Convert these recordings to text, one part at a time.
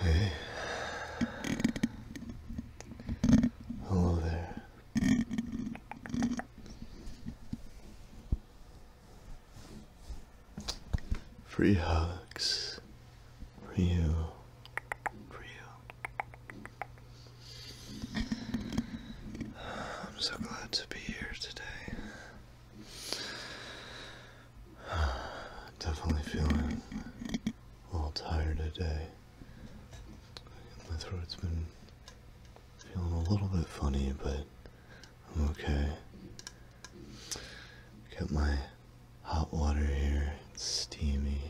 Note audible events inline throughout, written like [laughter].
Hey. Hello there. Free hugs for you. For you. I'm so glad to be here today. [sighs] Definitely feeling a little tired today. My throat's been feeling a little bit funny, but I'm okay. Got my hot water here, steamy.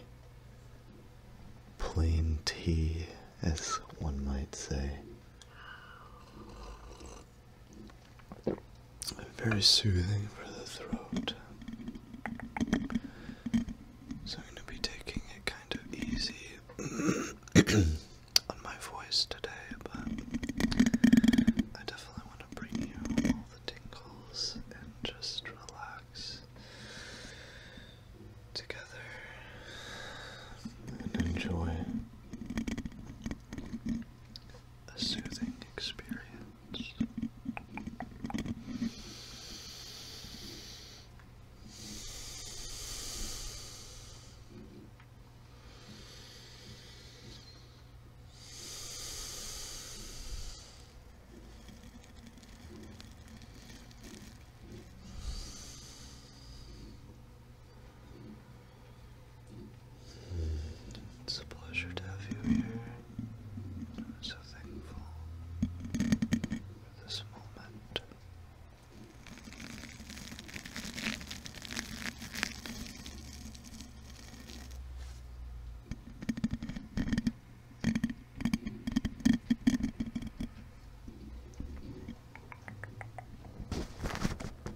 Plain tea, as one might say. Very soothing for the throat. So I'm going to be taking it kind of easy [clears throat] on my voice today, but I definitely want to bring you all the tingles and just relax together and enjoy a soothing experience. It's a pleasure to have you here. I'm so thankful for this moment.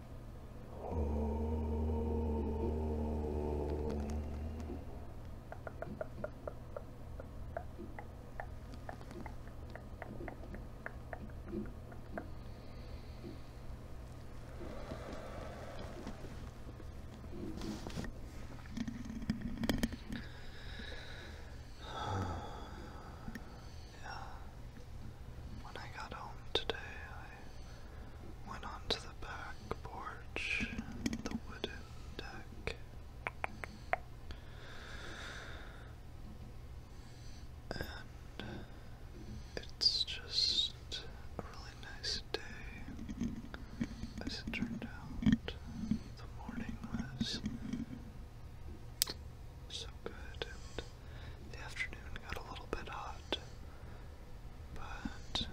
[sighs] When I got home today, went onto the back porch, the wooden deck. And it's just a really nice day as it turned out. The morning was so good the afternoon got a little bit hot, but you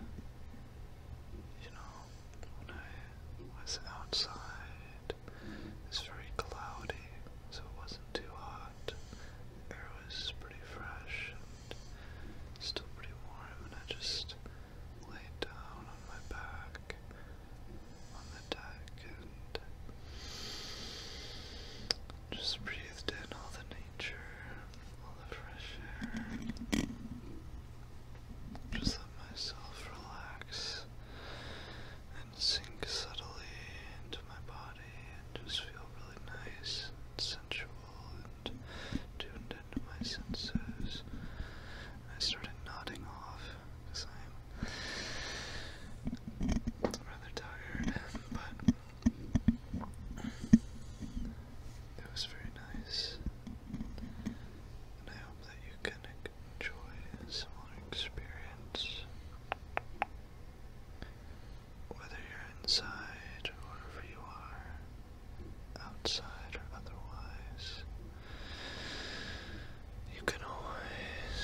know, when I was outside, it was very cloudy, so it wasn't too hot. The air was pretty fresh and still pretty warm, and I just laid down on my back on the deck and just breathed in all the all the fresh air. Just let myself relax and sink subtly into my body and just feel really nice and sensual and tuned into my senses. I started nodding off because I'm rather tired, but it was very nice. And I hope that you can enjoy a similar experience. Whether you're inside or wherever you are, outside or otherwise, you can always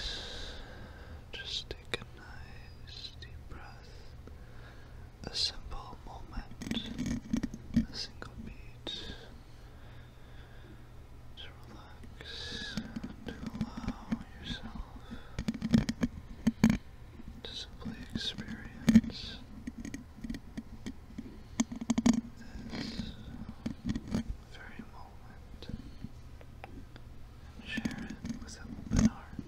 just take a nice deep breath earth. A simple moment, a single beat to relax to allow yourself to simply experience this very moment share it with an open heart.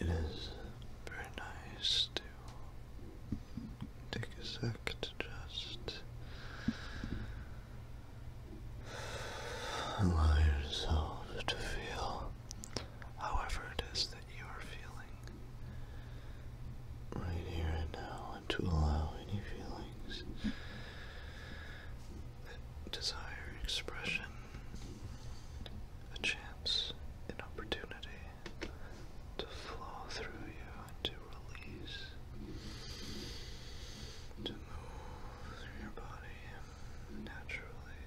It is very nice to take a sec to just allow yourself to feel however it is that you are feeling right here and now, and to allow any feelings that desire expression a chance, an opportunity to flow through you and to release, to move through your body naturally.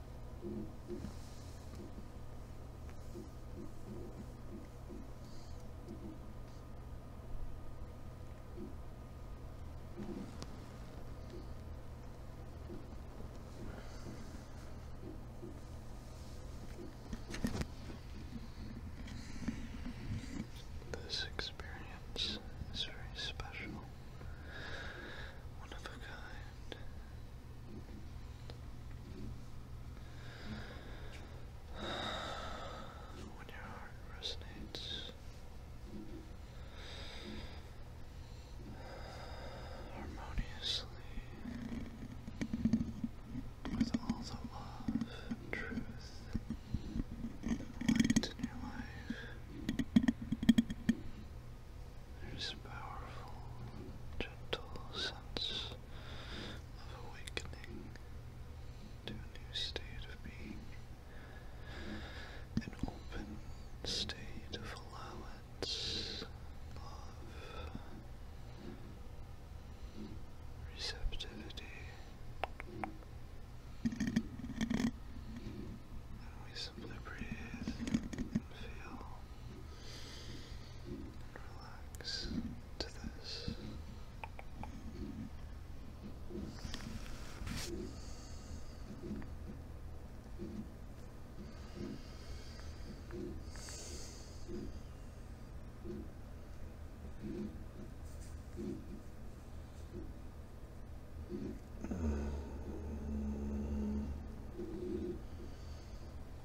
This experience is very special, one of a kind, [sighs] When your heart resonates, harmoniously with all the love truth and light in your life. There's a powerful, gentle sense of awakening to a new state of being, an open state of allowance, love, receptivity. And we simply breathe and feel Relax to this.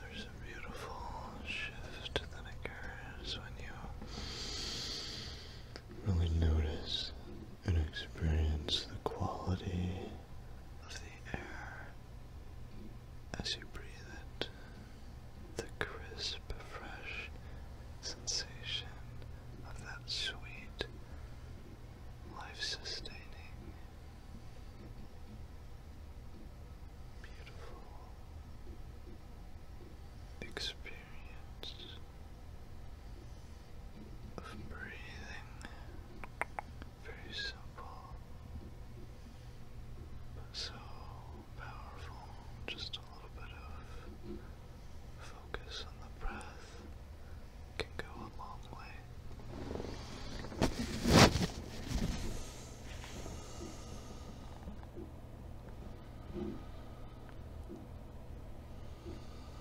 There's a beautiful shift that occurs when you really notice and experience the quality of the air as you breathe it, the crisp, fresh sensation of that sweet, life sustaining, beautiful experience experience of breathing. Very simple, but so powerful. Just a little bit of focus on the breath can go a long way.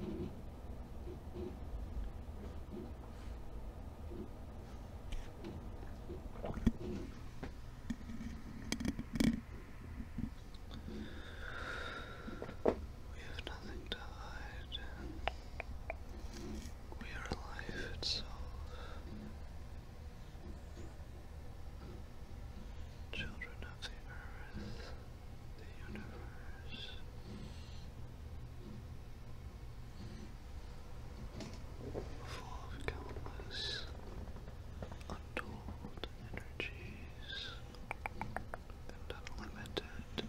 We have nothing to hide. We are life itself. Children of the earth, the universe. Full of countless untold energies and unlimited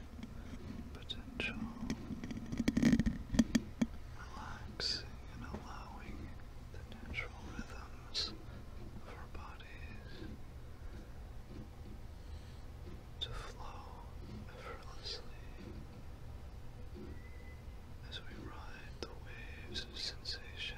potential, relaxing and allowing the natural rhythm minds, bodies, to flow effortlessly as we ride the waves of sensation.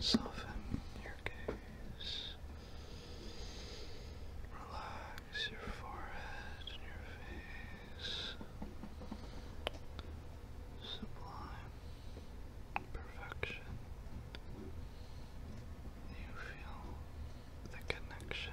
Soften your gaze. Relax your forehead and your face. Sublime perfection. You feel the connection.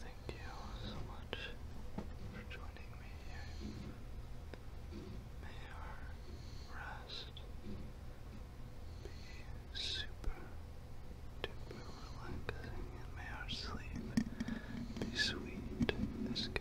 Thank you so much for joining me May our rest be super duper relaxing and may our sleep be sweet